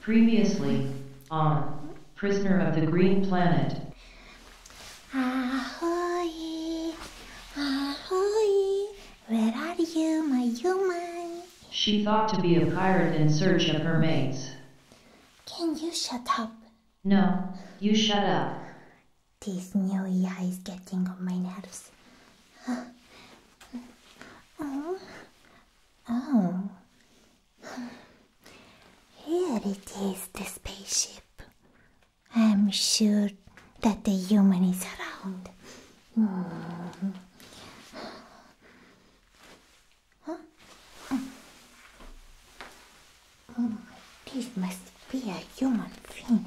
Previously, on Prisoner of the Green Planet. Ahoy! Ahoy! Where are you, my human? She thought to be a pirate in search of her mates. Can you shut up? No, you shut up. This new AI is getting on my nerves. Oh. Oh. Here it is, the spaceship. I'm sure that the human is around. Huh? Hmm. Oh, this must be a human thing.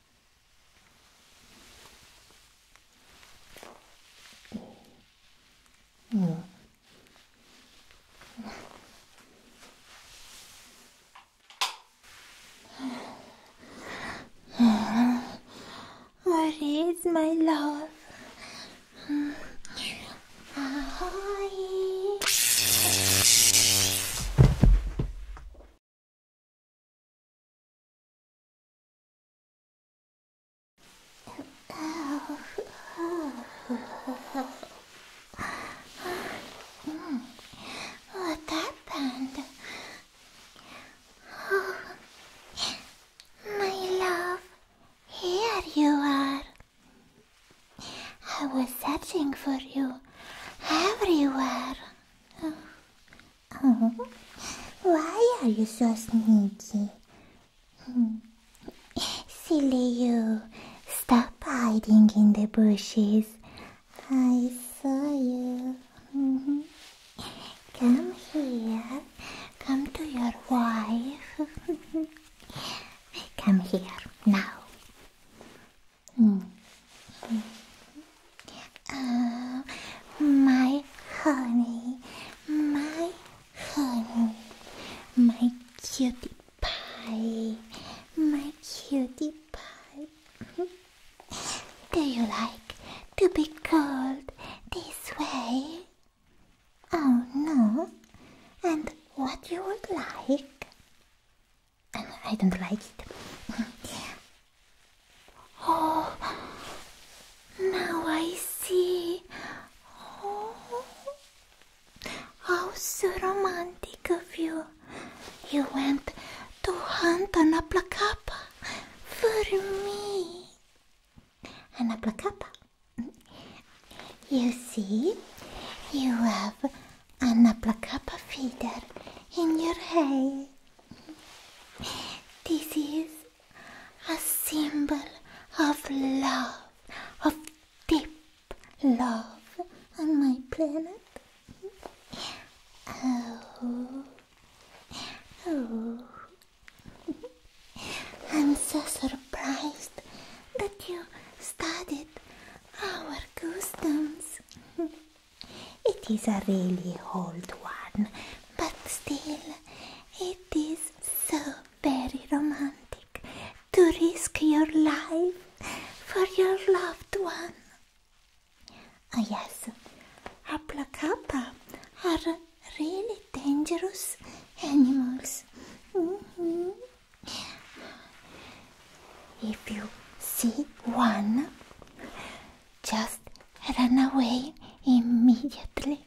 Mm. my love? Hi. What oh, happened? my love, here you are. I was searching for you everywhere. Oh, why are you so sneaky? Silly you. Stop hiding in the bushes. I saw you. Come here. Come to your wife. Come here now. Oh, my honey, my honey, my cutie pie, my cutie pie. Do you like to be called this way? Oh no, and what you would like? I don't like it. Oh, now I see. Oh, how so romantic of you. You went to hunt an aplacapa for me. An aplacapa? You see, you have an aplacapa feeder in your hay. This is a symbol of love, of deep love on my planet. Oh, oh. I'm so surprised that you studied our customs. It is a really old one, but still, it is so very romantic to risk your life for your loved one. Oh, yes, cobra are really dangerous animals. Mm-hmm. If you see one, just Run away immediately.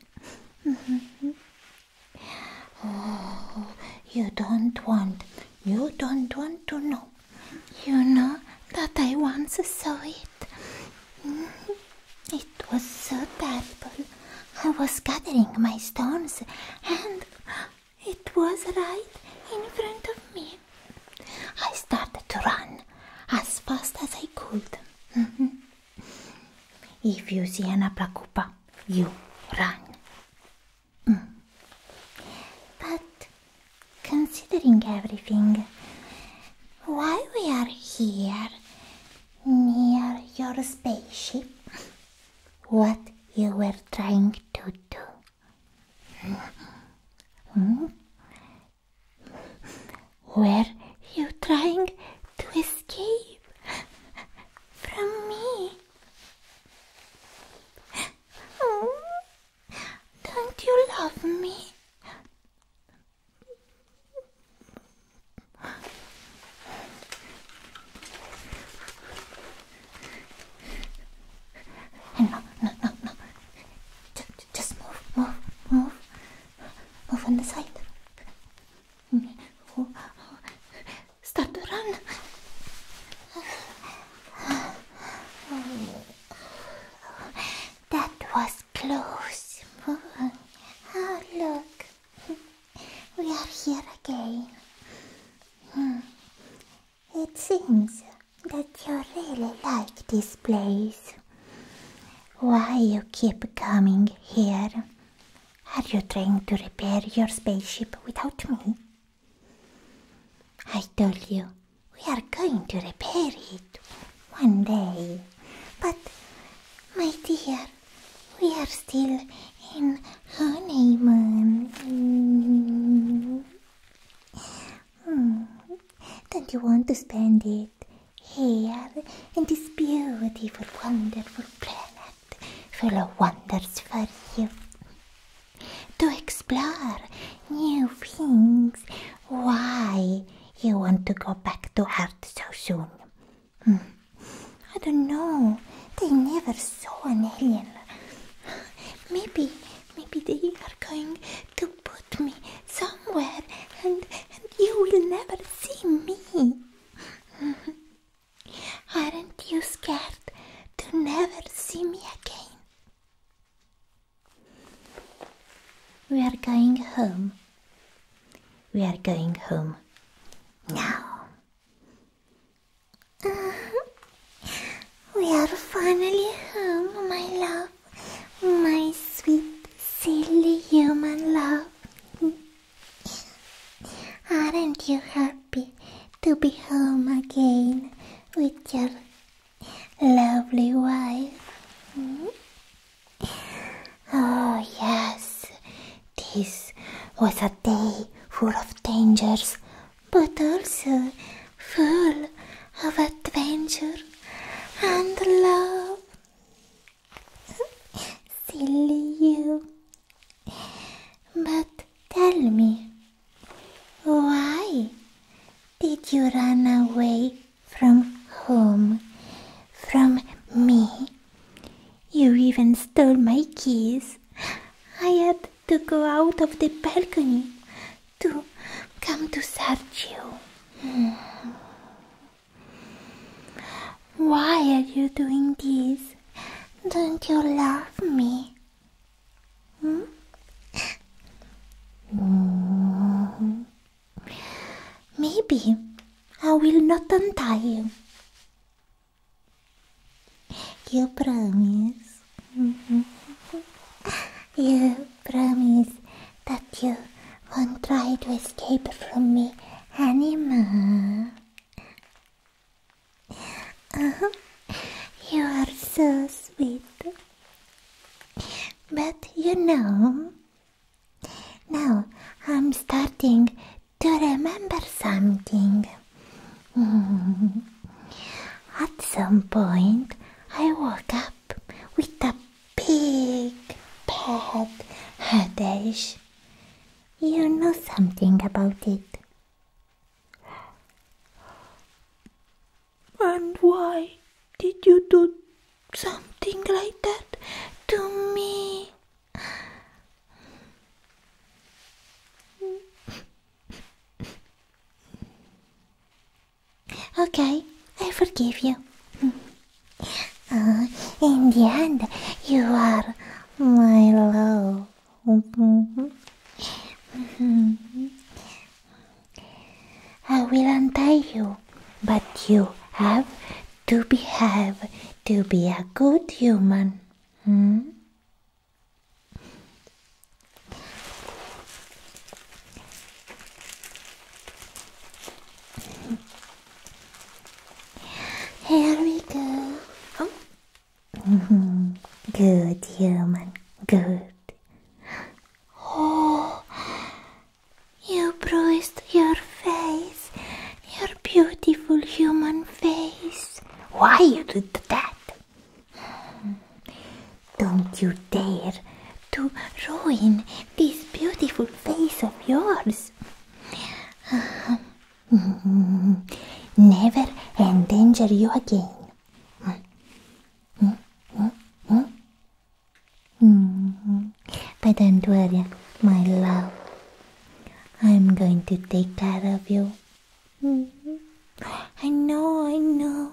Oh, you don't want, you don't want to know. You know that I once saw it. It was so terrible. I was gathering my stones and it was right in front of me. I started to run as fast as I could. Mm-hmm. if you see an aplacupa, you run. Mm. But considering everything, why we are here near your spaceship? What you were trying to do? Mm-hmm. Mm-hmm. Were you trying to escape from me? Oh, don't you love me? No, no, no, no. Just, just move, move, move. Move on the side. Start to run. That was close. Oh, look. We are here again. It seems that you really like this place. Why you keep coming here? Are you trying to repair your spaceship without me? I told you, we are going to repair it one day. But, my dear, we are still in honeymoon. Hmm. Don't you want to spend it? here in this beautiful, wonderful planet full of wonders for you to explore new things. Why you want to go back to Earth so soon? Hmm. I don't know. They never saw an alien. Maybe, maybe they are going to put me somewhere and, and you will never see me. Aren't you scared to never see me again? We are going home. We are going home. Now. we are finally home, my love my sweet, silly human love. Aren't you happy to be home again with your lovely wife? Oh, yes, this was a day full of dangers, but also full of adventure and love. Silly you. But tell me, why did you run away from home? From me? You even stole my keys. I had to go out of the balcony to come to search you. Hmm. Why are you doing this? Don't you love me? Hmm? Maybe I will not untie you. You promise? you promise that you won't try to escape from me anymore. Uh-huh. you are so sweet. But you know, now I'm starting to remember something. At some point, I woke up with a big bad headache. You know something about it. And why did you do something like that to me? Okay, I forgive you. Uh, in the end, you are my love. I will untie you, but you have to behave to be a good human. Hmm? Here we go. Oh. Mm-hmm. good human, good. Oh, you bruised your face, your beautiful human face. Why you did that? Don't you dare to ruin this beautiful face of yours. Never endanger you again. But don't worry, my love. I'm going to take care of you. I know, I know.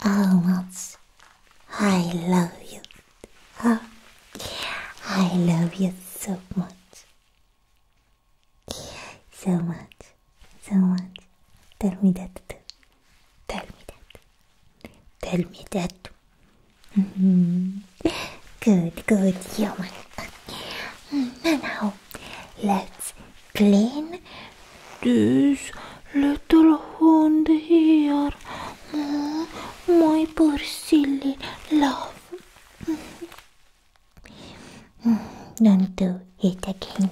how much I love you. Oh, I love you so much. So much, so much. Tell me that too. Tell me that. Tell me that. -hmm. good, good human. Mm, now, let's clean this little hound here, my poor silly love. Don't do it again.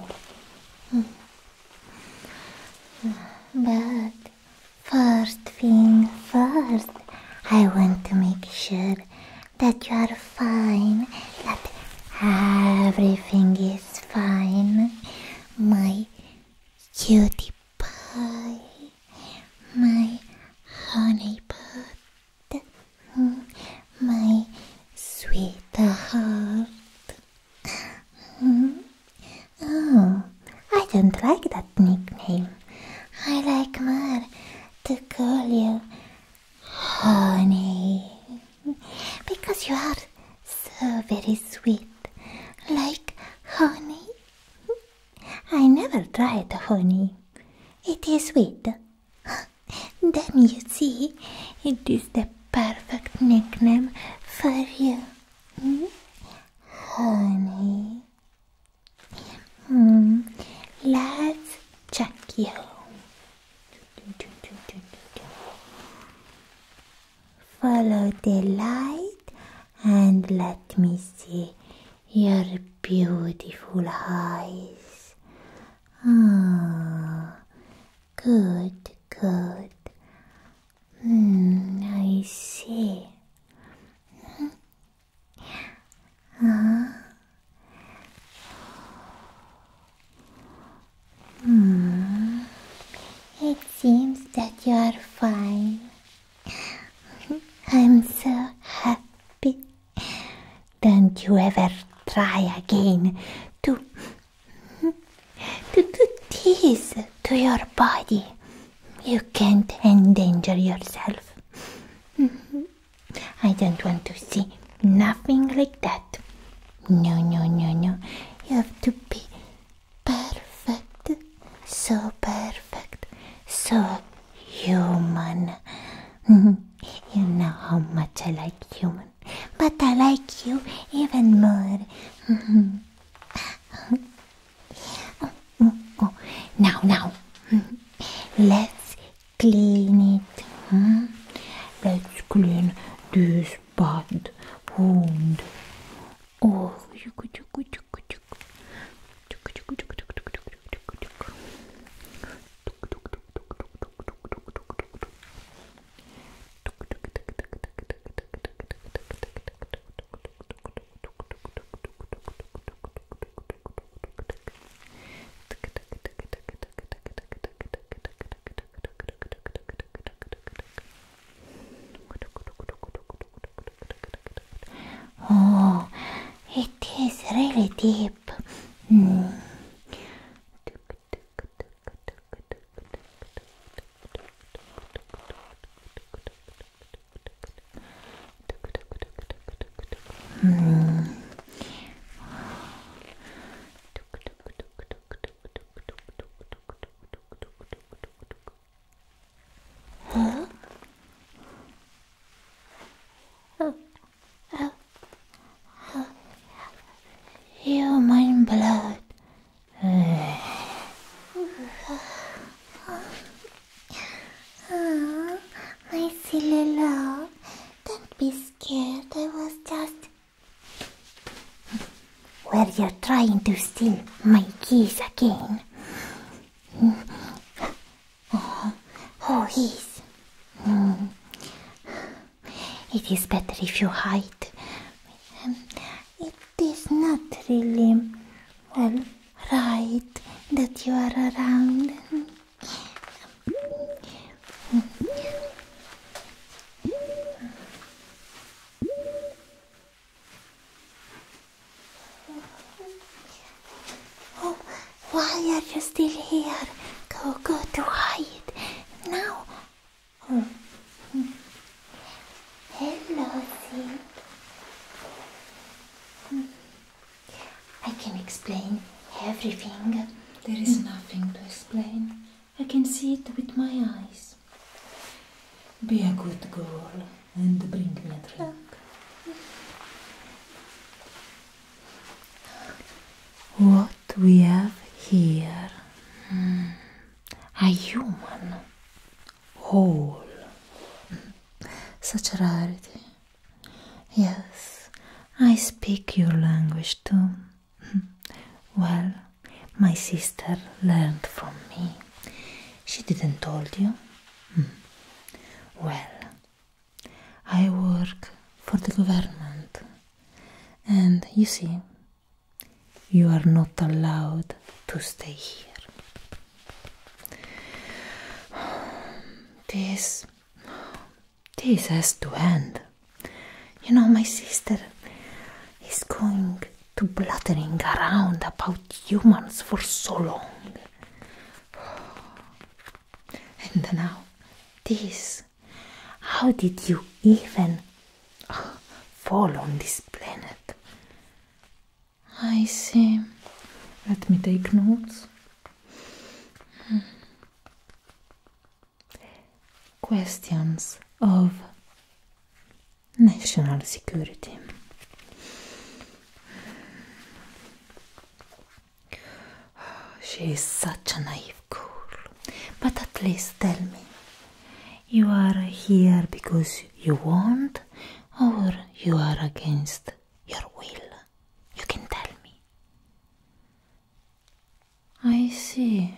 But first thing first, I want to make sure that you are fine, that everything is fine, my cutie pie, my honeypot, my sweetheart. Hmm. Oh, I don't like that nickname. I like more to call you honey because you are so very sweet, like honey. I never tried honey. It is sweet. Then you see, it is the perfect nickname for you. Hmm? Honey. Hmm. Let's check you. Follow the light and let me see your beautiful eyes. Ah, good, good. Hmm, I see. Hmm. Ah. Hmm. It seems that you are fine. I'm so happy. Don't you ever try again to to do this to your body. You can't endanger yourself. I don't want to see nothing like that. No, no, no, no. You have to be perfect, so perfect, so human. you know how much I like human, but I like you even more. now, now, let's clean it. Hmm? Let's clean this bad wound. Oh, Oh, it is really deep. Hmm. Huh? Oh. Oh. Oh. Human blood. oh, my silly love, don't be scared. I was just well, you're trying to steal my keys again. Oh, oh It is better if you hide. it is not really, well, right that you are around. Oh, why are you still here? Go, go to hide now. Hmm. Hello, hmm. I can explain everything. There is hmm. nothing to explain. I can see it with my eyes. Be a good girl and bring me a drink. What we have here. Hmm, a human. Whole. Such a rarity. Yes, I speak your language too. Hmm, well, my sister learned from me. She didn't told you? Hmm. Well, I work for the government, and you see, you are not allowed to stay here. This. This has to end. You know, my sister is going to blathering around about humans for so long. And now, this. How did you even uh, fall on this planet? I see. Let me take notes. Hmm. Questions of national security. She is such a naive girl, but at least tell me, you are here because you want, or you are against your will. You can tell me. I see.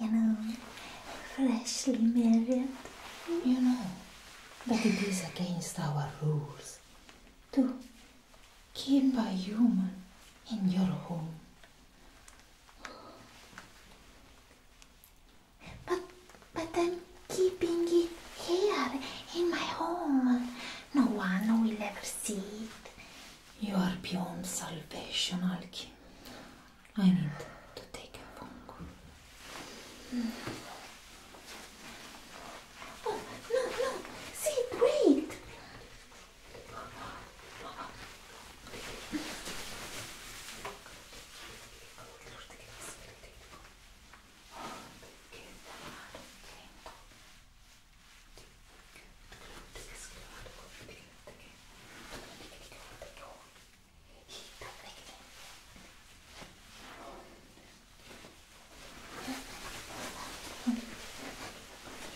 you know, freshly married. You know but it is against our rules to keep a human in your home. But, but I'm keeping it here in my home. No one will ever see it. You are beyond salvation, Alki. I need to take a phone call. Oh, no, no, see, wait!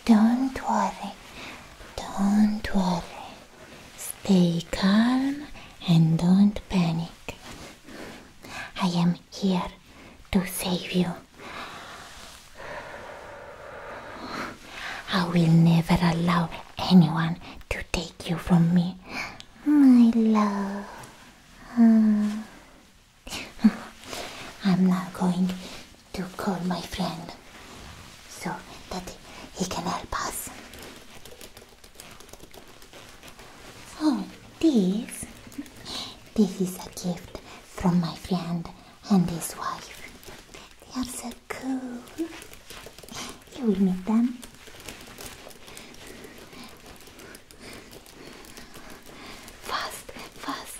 Don't worry, don't worry. Stay calm and don't panic. I am here to save you. I will never allow anyone to take you from me, my love. I'm now going to call my friend so that he can help us. Oh, this? This is a gift from my friend and his wife. They are so cool. You will meet them. Fast, fast.